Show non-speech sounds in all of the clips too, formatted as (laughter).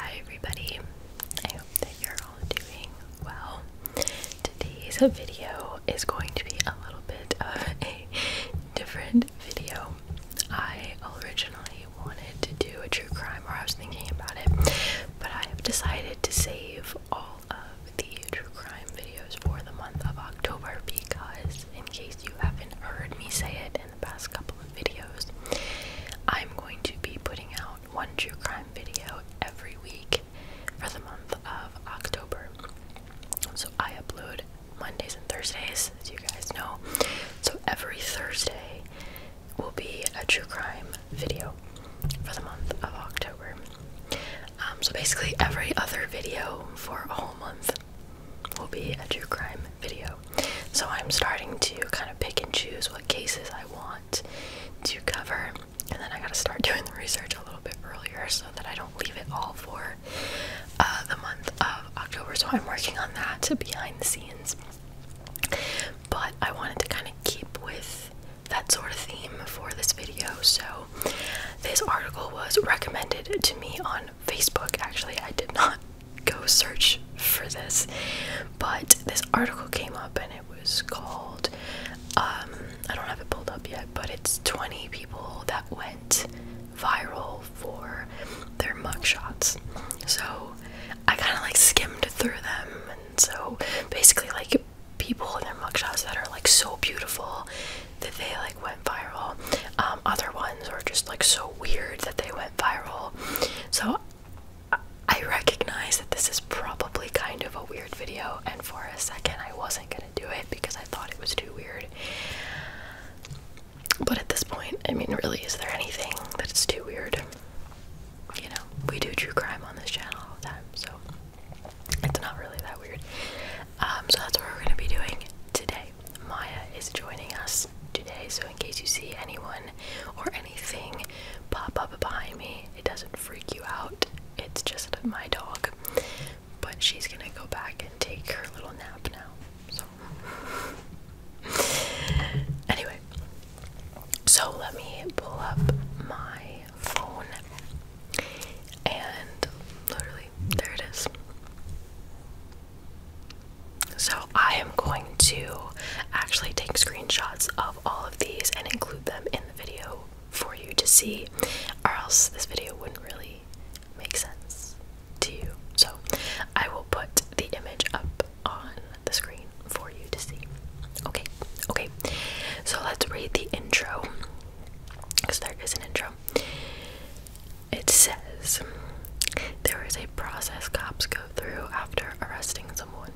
Hi, everybody. I hope that you're all doing well. Today's video is going to be a little bit of a different video. I originally wanted to do a true crime where I was thinking about it, but I have decided to save all of the true crime videos for the month of October because, in case you haven't heard me say it in the past couple of videos, I'm going to be putting out one true crime video every week for the month of October. So I upload Mondays and Thursdays, as you guys know. So every Thursday, will be a true crime video for the month of October. Um, so basically, every other video for a whole month will be a true crime video. So I'm starting to kind of pick and choose what cases I want to cover, and then I gotta start doing the research a little bit earlier so that I don't leave it all for uh, the month of October. So I'm working on that to behind the scenes. But I wanted to kind of keep with that sort of theme for this video. So this article was recommended to me on Facebook. Actually, I did not go search for this, but this article came up and it was called um I don't have it pulled up yet, but it's 20 people that went viral for their mugshots. So I kind of like skimmed through them so basically, like people in their mugshots that are like so beautiful that they like went viral. Um, other ones are just like so weird that they went viral. So I recognize that this is probably kind of a weird video, and for a second, I wasn't gonna do it because I thought it was too weird. But at this point, I mean, really, is there anything that is too weird? you know, we do true crime on this channel all the time, so it's not really that weird. Um, so that's what we're going to be doing today. Maya is joining us today, so in case you see anyone or anything pop up behind me, it doesn't freak you out. It's just my dog. But she's gonna go back and take her little nap now. So, (laughs) anyway, so let me pull up my phone and literally there it is. So I am going to actually take screenshots of all of these and include them in the video for you to see, or else this video wouldn't really make sense to you. So I will put the image up on the screen for you to see. Okay, okay. So let's read the intro because there is an intro. It says there is a process cops go through after arresting someone.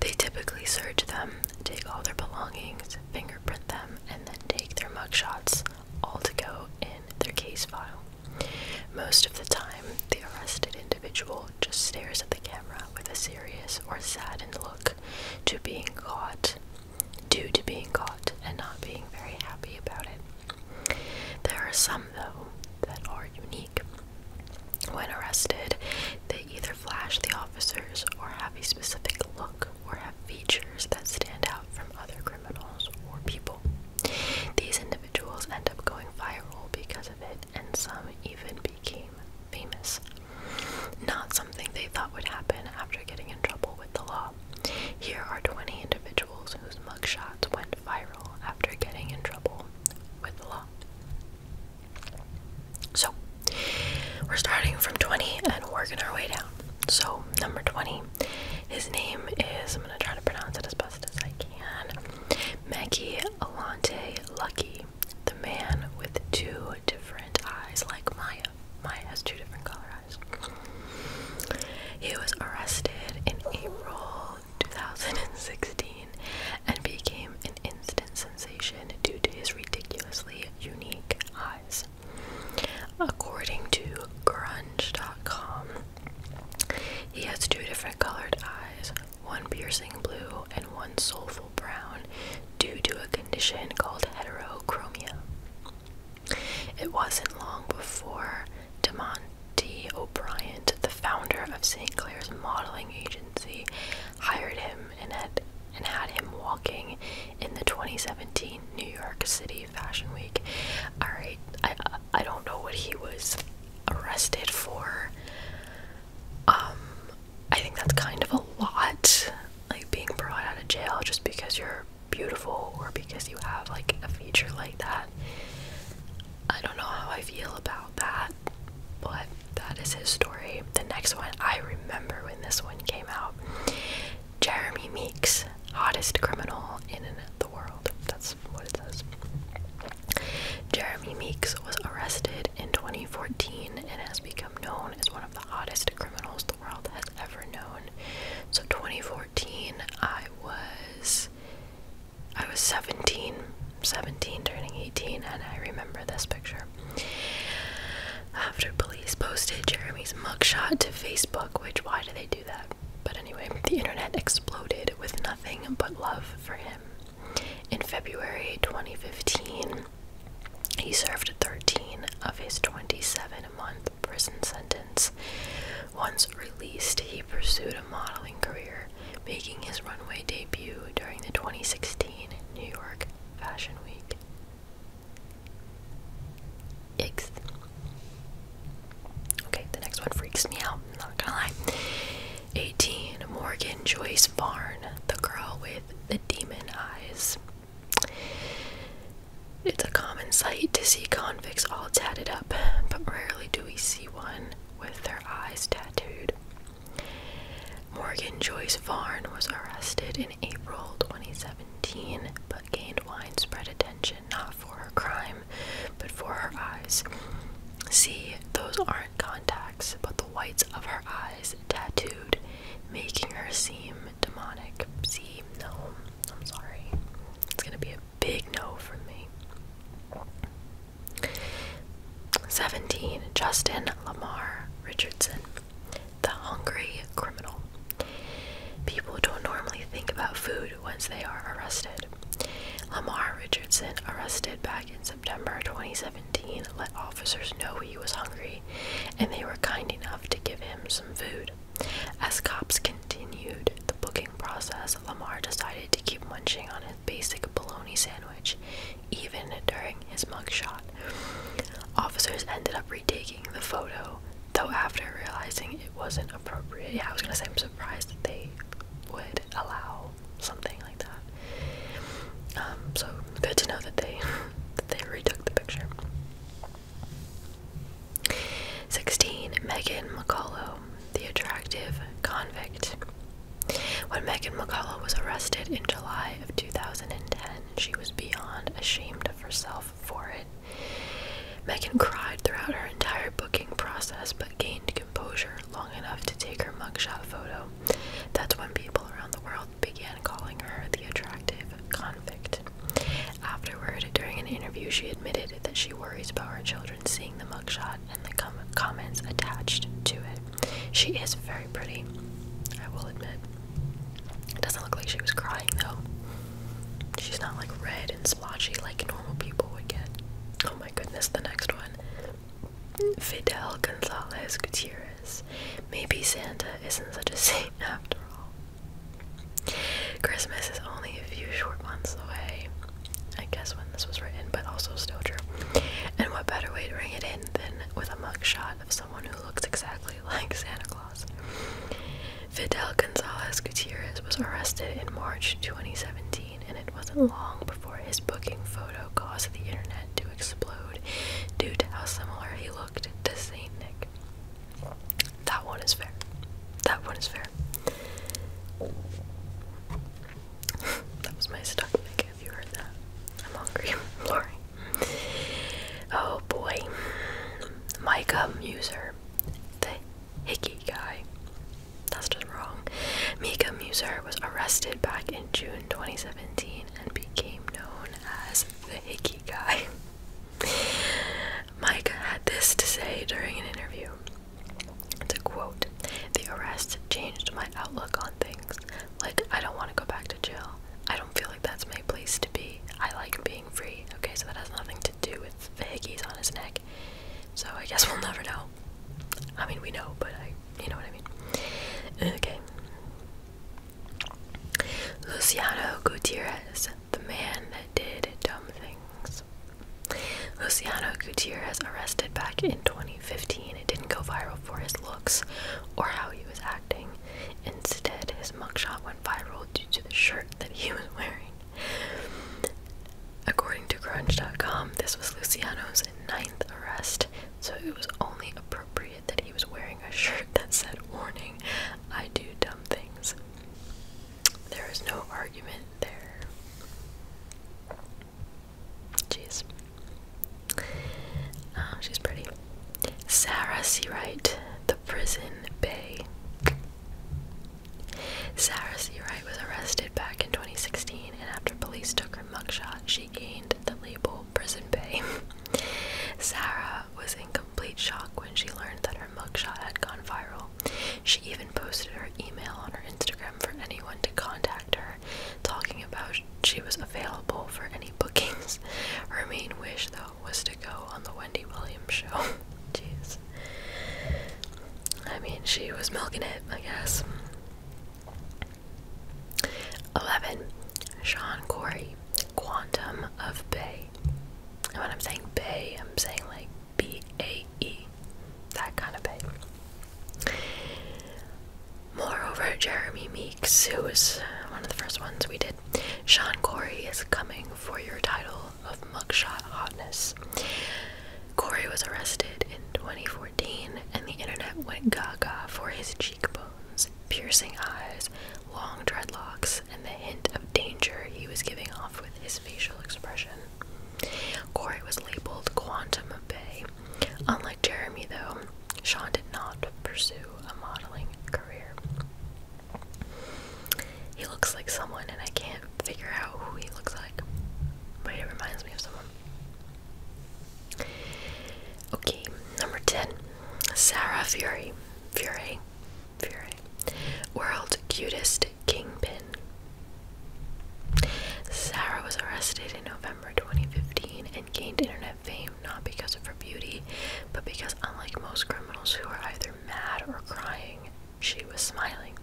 They typically search them, take all their belongings, fingerprint them, and then take their mugshots all to go in their case file. Most of the time, the arrested individual just stares at the camera with a serious or saddened look to being caught, due to being caught and not being very happy about it. There are some, though, that are unique. When arrested, they either flash the officers or have a specific look or have features that stand out from other criminals or people. These individuals end up going viral because of it, and some even became famous. Not something they thought would happen after getting in trouble with the law. Here are 20 individuals whose mugshots went viral after getting in trouble with the law. So, we're starting from 20 and working our way down. So, number 20, his name is, I'm going to try to pronounce it as best fast Alante Lucky, the man with two different eyes, like Maya. Maya has two different color eyes. He was arrested in April 2016 and became an instant sensation due to his ridiculously unique eyes. According to grunge.com, he has two different colored eyes, one piercing blue and one soulful brown, due to a condition called heterochromia. It wasn't long before D. O'Brien, the founder of St. Clair's modeling agency, hired him and had him walking in the 2017 New York City Fashion Week. All right, I don't know what he was arrested for. Um, I think that's kind of a lot, like being brought out of jail just because you're beautiful or because you have like a feature like that. I don't know how I feel about that, but that is his story. The next one, I remember when this one came out Jeremy Meeks, hottest criminal in an the world. That's what it says. Jeremy Meeks was arrested in 2014 and has become known as one of the hottest criminals the world has ever known. So 2014, I was I was 17, 17 turning 18 and I remember this picture. After police posted Jeremy's mugshot to Facebook, which why do they do that? But anyway, the internet exploded with nothing but love for him. In February 2015, he served 13 of his 27 month prison sentence. Once released, he pursued a modeling career, making his runway debut during the 2016 New York Fashion Week. Yikes. Okay, the next one freaks me out, not gonna lie. 18. Morgan Joyce Varn, the girl with the demon eyes. It's a common sight to see convicts all tatted up, but rarely do we see one with their eyes tattooed. Morgan Joyce Varn was arrested in April 2017 but gained widespread attention not for her crime him, but for her eyes. See, those aren't contacts, but the whites of her eyes tattooed, making her seem demonic. See, no, I'm sorry. It's gonna be a big no from me. 17. Justin Lamar Richardson, the hungry criminal. People don't normally think about food once they are arrested. Lamar Richardson, arrested back in September 2017, let officers know he was hungry and they were kind enough to give him some food. As cops continued the booking process, Lamar decided to keep munching on his basic bologna sandwich even during his mugshot. Officers ended up retaking the photo Though after realizing it wasn't appropriate, yeah, I was gonna say I'm surprised that they would allow something like that. Um, so good to know that they (laughs) that they retook the picture. 16. Megan McCullough, the attractive convict. When Megan McCullough was arrested in July of 2010, she was beyond ashamed of herself for it. Megan cried throughout her entire booking process but gained composure long enough to take her mugshot photo. That's when people around the world began calling her the attractive convict. Afterward, during an interview, she admitted that she worries about her children seeing the mugshot and the comments attached to it. She is very pretty, I will admit. It doesn't look like she was crying though. She's not like red and splotchy like normal people would get. Oh my goodness, the next one. Fidel Gonzalez Gutierrez. Maybe Santa isn't such a saint (laughs) after all. Christmas is only a few short months away. I guess when this was written, but also still true. And what better way to ring it in than with a mugshot of someone who looks exactly (laughs) like Santa Claus? Fidel Gonzalez Gutierrez was arrested in March 2017, and it wasn't long before his booking photo caused the internet to explode due to how similar he looked to Saint Nick. That one is fair. That one is fair. (laughs) that was my stuck pick if you heard that. I'm hungry. (laughs) Sorry. Oh boy. Micah Muser um, the hickey guy. That's just wrong. Mika Musser was arrested back in June 2017 and became known as the hickey guy. (laughs) Micah had this to say during an interview. To quote, the arrest changed my outlook on things. Like, I don't want to go back to jail. I don't feel like that's my place to be. I like being free. Okay, so that has nothing to do with the hickeys on his neck. So I guess we'll never know. I mean, we know, but I, you know what I mean. Okay. Luciano Gutierrez, the man that did dumb things. Luciano Gutierrez arrested back in 2015. It didn't go viral for his looks or how he was acting. Instead, his mugshot went viral to the shirt that he was wearing. According to Crunch.com, this was Luciano's ninth arrest, so it was only appropriate that he was wearing a shirt that said, Warning, I do dumb things. There is no argument there. Jeez. Oh, she's pretty. Sarah C. Wright, The Prison Bay. Sarah C. Wright was arrested back in 2016, and after police took her mugshot, she gained the label Prison Bay. (laughs) Sarah was in complete shock when she learned that her mugshot had gone viral. She even posted her email on her Instagram for anyone to contact her, talking about she was available for any bookings. Her main wish, though, was to go on the Wendy Williams show. (laughs) Jeez. I mean, she was milking it, I guess. 11. Sean Corey, Quantum of Bay. And when I'm saying Bay, I'm saying like B A E. That kind of Bay. Moreover, Jeremy Meeks, who was one of the first ones we did. Sean Corey is coming for your title of mugshot hotness. Corey was arrested in 2014, and the internet went gaga for his cheekbones, piercing eyes, long dreadlocks, and the hint of danger he was giving off with his facial expression. Corey was labeled Quantum of Bay. Unlike Jeremy, though, Sean did not pursue a modeling career. He looks like someone, and I can't figure out who he looks like, but it reminds me of someone. Okay, number 10. Sarah Fury. Fury. Fury. World Cutest Kingpin. Sarah was arrested in November 2015 and gained international fame not because of her beauty, but because, unlike most criminals who are either mad or crying, she was smiling.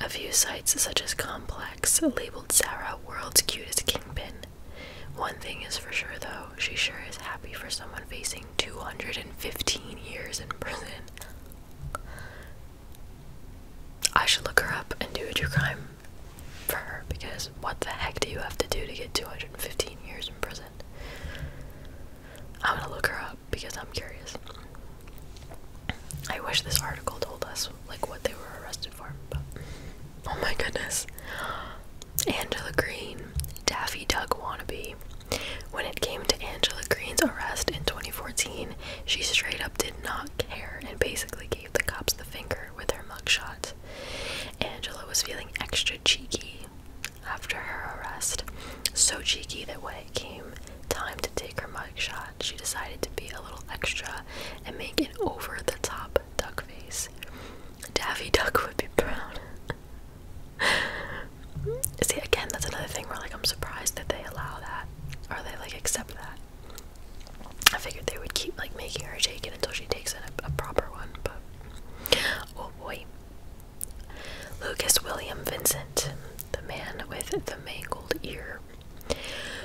A few sites, such as Complex, labeled Sarah world's cutest kingpin. One thing is for sure, though, she sure is happy for someone facing 215 years in prison. I should look her up and do a true crime for her because what the heck do you have to do to get 215 years in prison? I'm gonna look her up because I'm curious. I wish this article told us like what they were arrested for, but oh my goodness. Angela Green, Daffy Duck wannabe. When it came to Angela Green's arrest in 2014, she straight up did not care and basically gave the cops the finger with her mugshot. Angela was feeling extra cheeky after her arrest. So cheeky that when it came time to take her mugshot, she decided to be a little extra and make an over the top duck face. Daffy Duck would be proud. (laughs) See, again, that's another thing where like I'm surprised that they allow that or they like accept that. I figured they would keep like making her take it until she takes in a proper one, but Oh boy. Lucas William Vincent, the man with the mangled ear.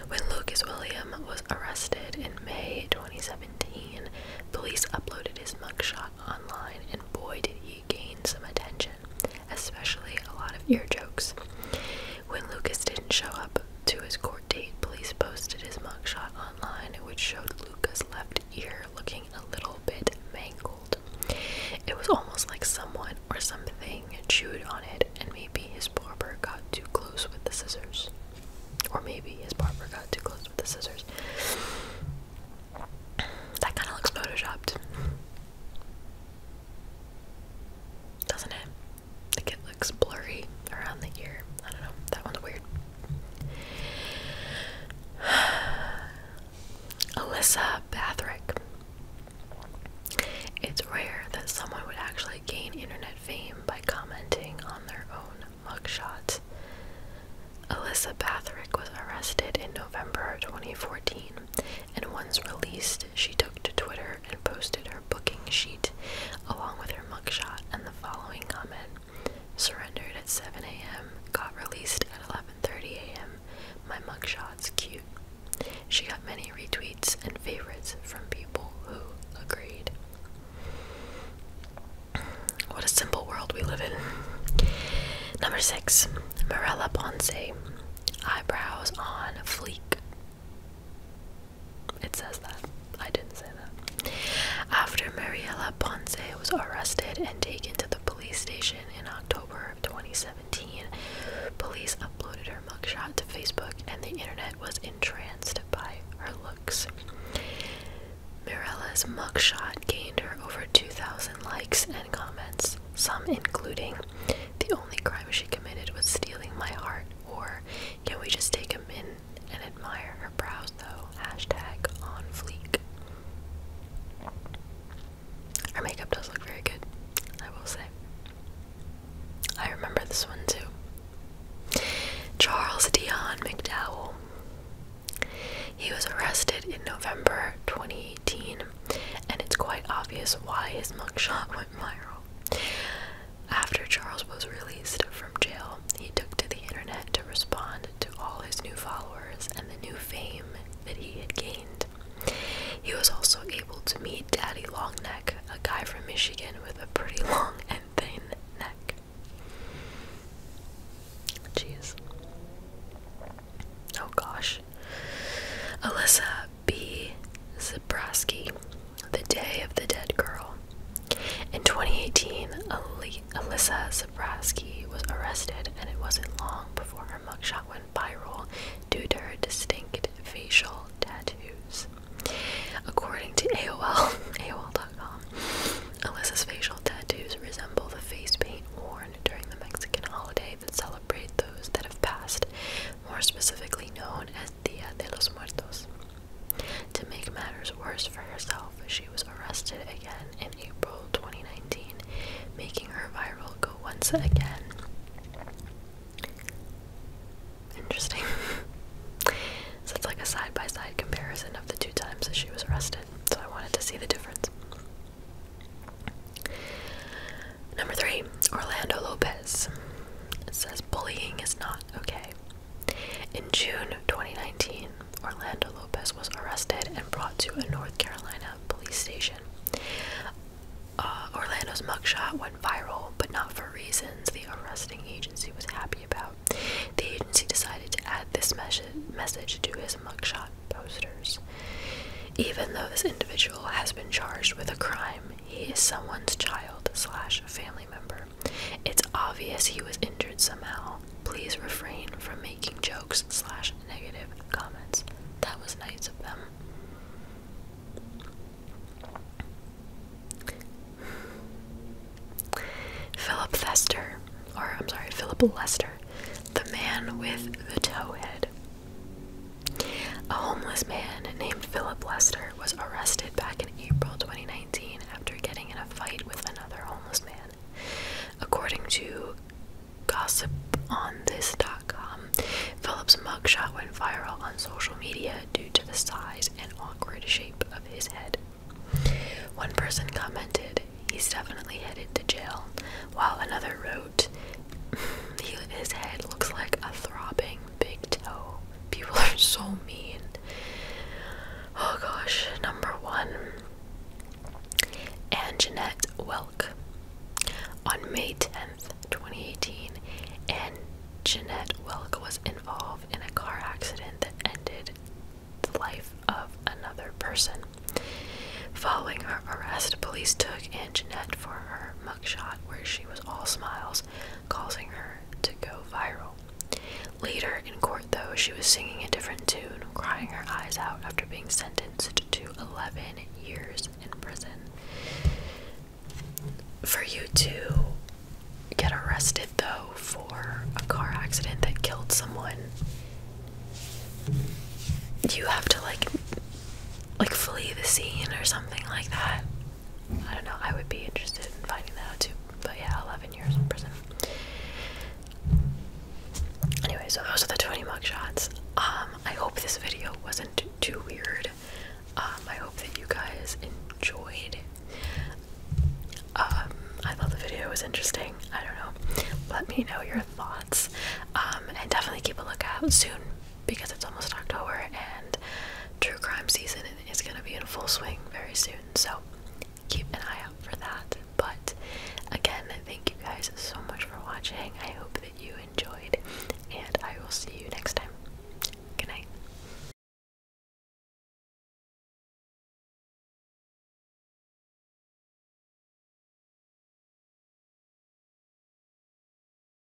When Lucas William was arrested in May 2017, police uploaded his mugshot online, and boy, did he gain some attention, especially a lot of ear jokes. When Lucas didn't show up to his court 2014, police posted his mugshot online, which showed Luca's left ear looking a little bit mangled. It was almost like someone or something chewed on it, and maybe his barber got too close with the scissors. Or maybe his barber got too close with the scissors. That kind of looks photoshopped. Doesn't it (sighs) Alyssa Bathrick. It's rare that someone would actually gain internet fame by commenting on their own mugshot. Alyssa Bathrick was arrested in November 2014, and once released, she took to Twitter and posted her booking sheet along with her mugshot and the following comment Surrendered at 7 a.m. Got released at 11:30 a.m. My mugshot's cute. She got many retweets and favorites from people who agreed. What a simple world we live in. Number six, Marella Ponce. Eyebrows on fleek. It says that. I didn't say that. After Mariela Ponce was arrested and taken to the police station in October of 2017, police uploaded her mugshot to Facebook and the internet was entranced by her looks. Mirela's mugshot gained her over 2,000 likes and comments, some including, The only crime she committed was stealing my heart, or Can we just take a min and admire her brows though. Hashtag on fleek. Her makeup does look very good, I will say. I remember this one too. Charles Dion McDowell. He was arrested in November 2018, and it's quite obvious why his mugshot went viral. After Charles was released from jail, he took to the internet to respond to all his new followers and the new fame that he had gained. He was also able to meet Daddy Longneck, a guy from Michigan with a pretty long and thin neck. Jeez. Oh gosh. Alyssa B. Zabrowski the Day of the Dead Girl. In 2018, Alyssa Zabrowski was arrested, and it wasn't long before her mugshot went viral due to her distinct facial tattoos. According to AOL, AOL.com, (laughs) Alyssa's facial tattoos resemble the face paint worn during the Mexican holiday that celebrates those that have passed, more specifically known as as de los Muertos. To make matters worse for herself, she was arrested again in April 2019, making her viral go once again. Interesting. (laughs) so it's like a side by side comparison of the two times that she was arrested, so I wanted to see the difference. Number three, Orlando Lopez. It says bullying is not okay. In June 2019, Orlando Lopez was arrested and brought to a North Carolina police station. Uh, Orlando's mugshot went viral, but not for reasons the arresting agency was happy about. The agency decided to add this message to his mugshot posters. Even though this individual has been charged with a crime, he is someone's child slash family member. It's obvious he was injured somehow. Please refrain from making jokes slash negative comments. That was nice of them. Philip Lester, or I'm sorry, Philip Lester, the man with the toe head, A homeless man named Philip Lester was arrested back in April 2019 after getting in a fight with another homeless man. According to gossiponthis.com, Phillips' mugshot went viral on social media due to the size and awkward shape of his head. One person commented, He's definitely headed to jail, while another wrote, (laughs) His head looks like a throbbing big toe. People are so mean. Oh gosh, number one. Anne Jeanette Welk. On May 10th, 2018, Anne Jeanette Welk was involved in a car accident that ended the life of another person. Following her arrest, police took Anne Jeanette for her mugshot, where she was all smiles causing her to go viral. Later in court, though, she was singing a different tune, crying her eyes out after being sentenced to 11 years in prison. For you to get arrested, though, for a car accident that killed someone, you have to like, like flee the scene or something like that. I don't know, I would be interested in finding that out too. But yeah, 11 years in prison. Anyway, so those are the 20 mugshots. Um, I hope this video wasn't too weird. Um, I hope that you guys enjoyed. Um, I thought the video was interesting. I don't know. Let me know your thoughts. Um, and definitely keep a lookout soon because it's almost October and true crime season is going to be in full swing very soon. So keep an eye out for that. But again, thank you guys so much for watching. I hope that you enjoyed, and I will see you next time. Good night.